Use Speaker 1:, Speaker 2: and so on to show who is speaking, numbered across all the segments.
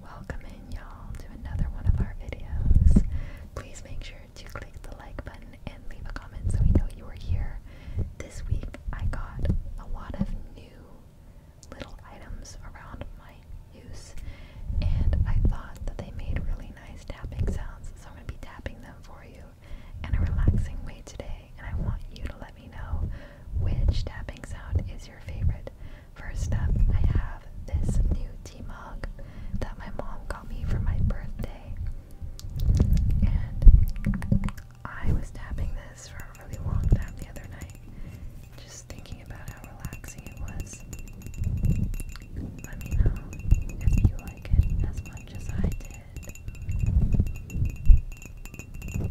Speaker 1: Welcome in y'all to another one of our videos. Please make sure to click the like button and leave a comment so we know you are here. This week I got a lot of new little items around my use and I thought that they made really nice tapping sounds so I'm going to be tapping them for you in a relaxing way today and I want you to let me know which tapping sound is your favorite. First up, I have this new tea mug that my mom got me for my birthday. And I was tapping this for a really long time the other night, just thinking about how relaxing it was. Let me know if you like it as much as I did.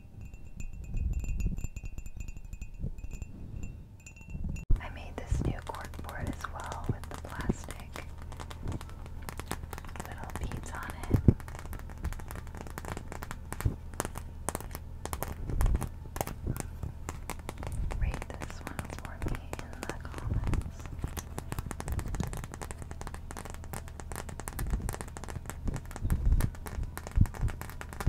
Speaker 1: I made this new board as well with the plastic little beads on it. Rate this one for me in the comments.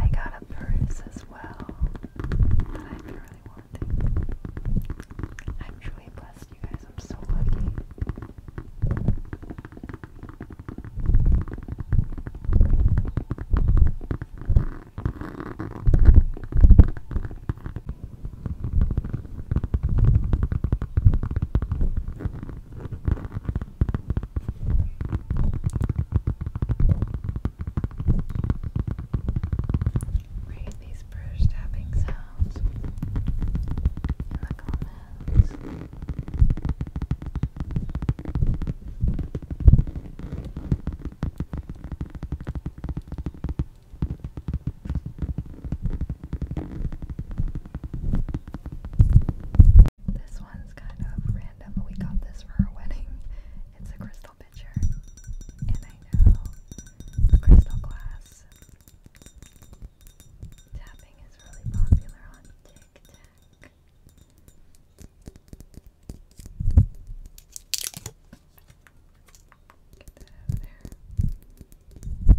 Speaker 1: I got a purse as well that I've really wanting. I'm truly blessed, you guys. I'm so lucky. Read these brush tapping sounds in the comments. This one's kind of random, but we got this for our wedding. It's a crystal pitcher, and I know the crystal glass tapping is really popular on TikTok back. Get that out of there. Okay.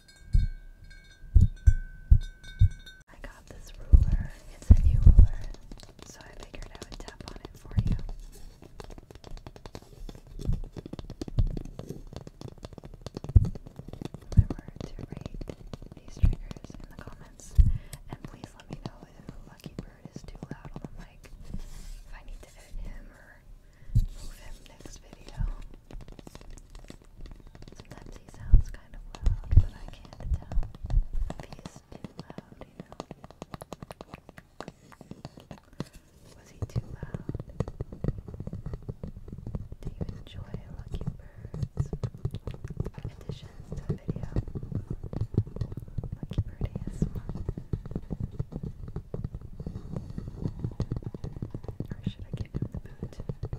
Speaker 2: I got this ruler. It's a new ruler, so I figured I would tap on it for you. Remember to rate these triggers in the comments, and please let me know if the lucky bird is too loud on the mic. If I need to edit him or move him next video. Sometimes he sounds kind of loud, but I can't tell if he's too loud, you know? Was he too loud? Do you enjoy Lucky Birds? Additions to a video? Lucky Bird ASMR? Or should I to talk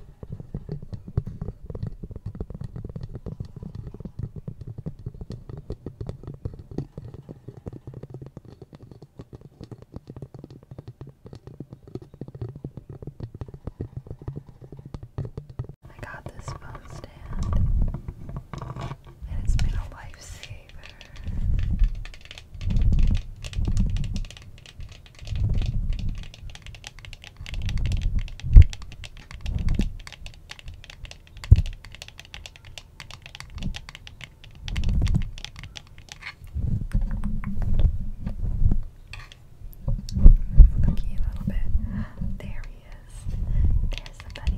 Speaker 2: I got this phone stand, and it's been a lifesaver. Cookie a little bit. There he is. There's the bunny.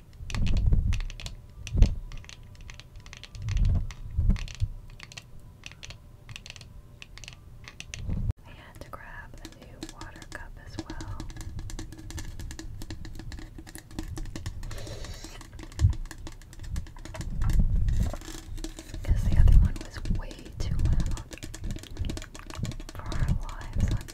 Speaker 2: I had to grab a new water cup as well. Because the other one was way too loud for our lives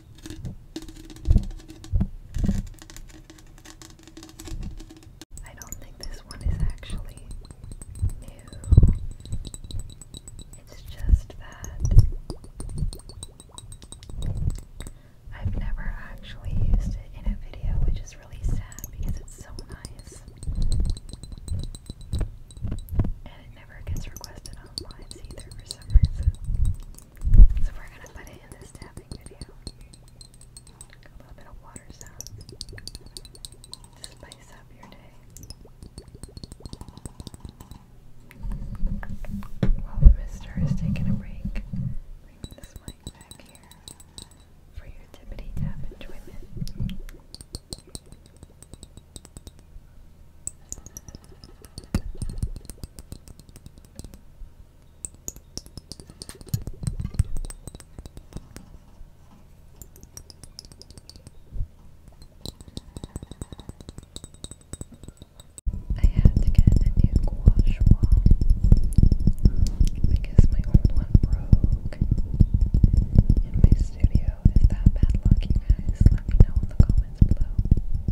Speaker 2: I don't think this one is actually new. It's just that I've never actually used it in a video, which is really sad because it's so nice. And it never gets requested on lives either for some reason. So we're gonna put it in this tapping video. A little bit of water sound. Spice up your day. While the mister is taking a break, bring this mic back here for your tippity tap enjoyment. I had to get a new gouache wall because my old one broke. And my studio is that bad luck, you guys. Let me know in the comments is blue. I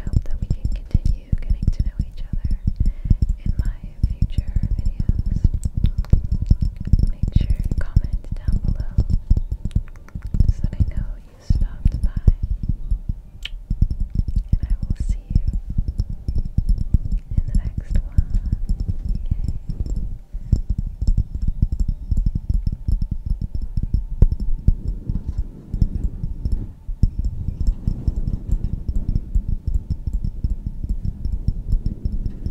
Speaker 2: hope that we can continue getting to know each other in my future videos make sure to comment down below so I know you stopped by. And I will see you in the next one. Yay.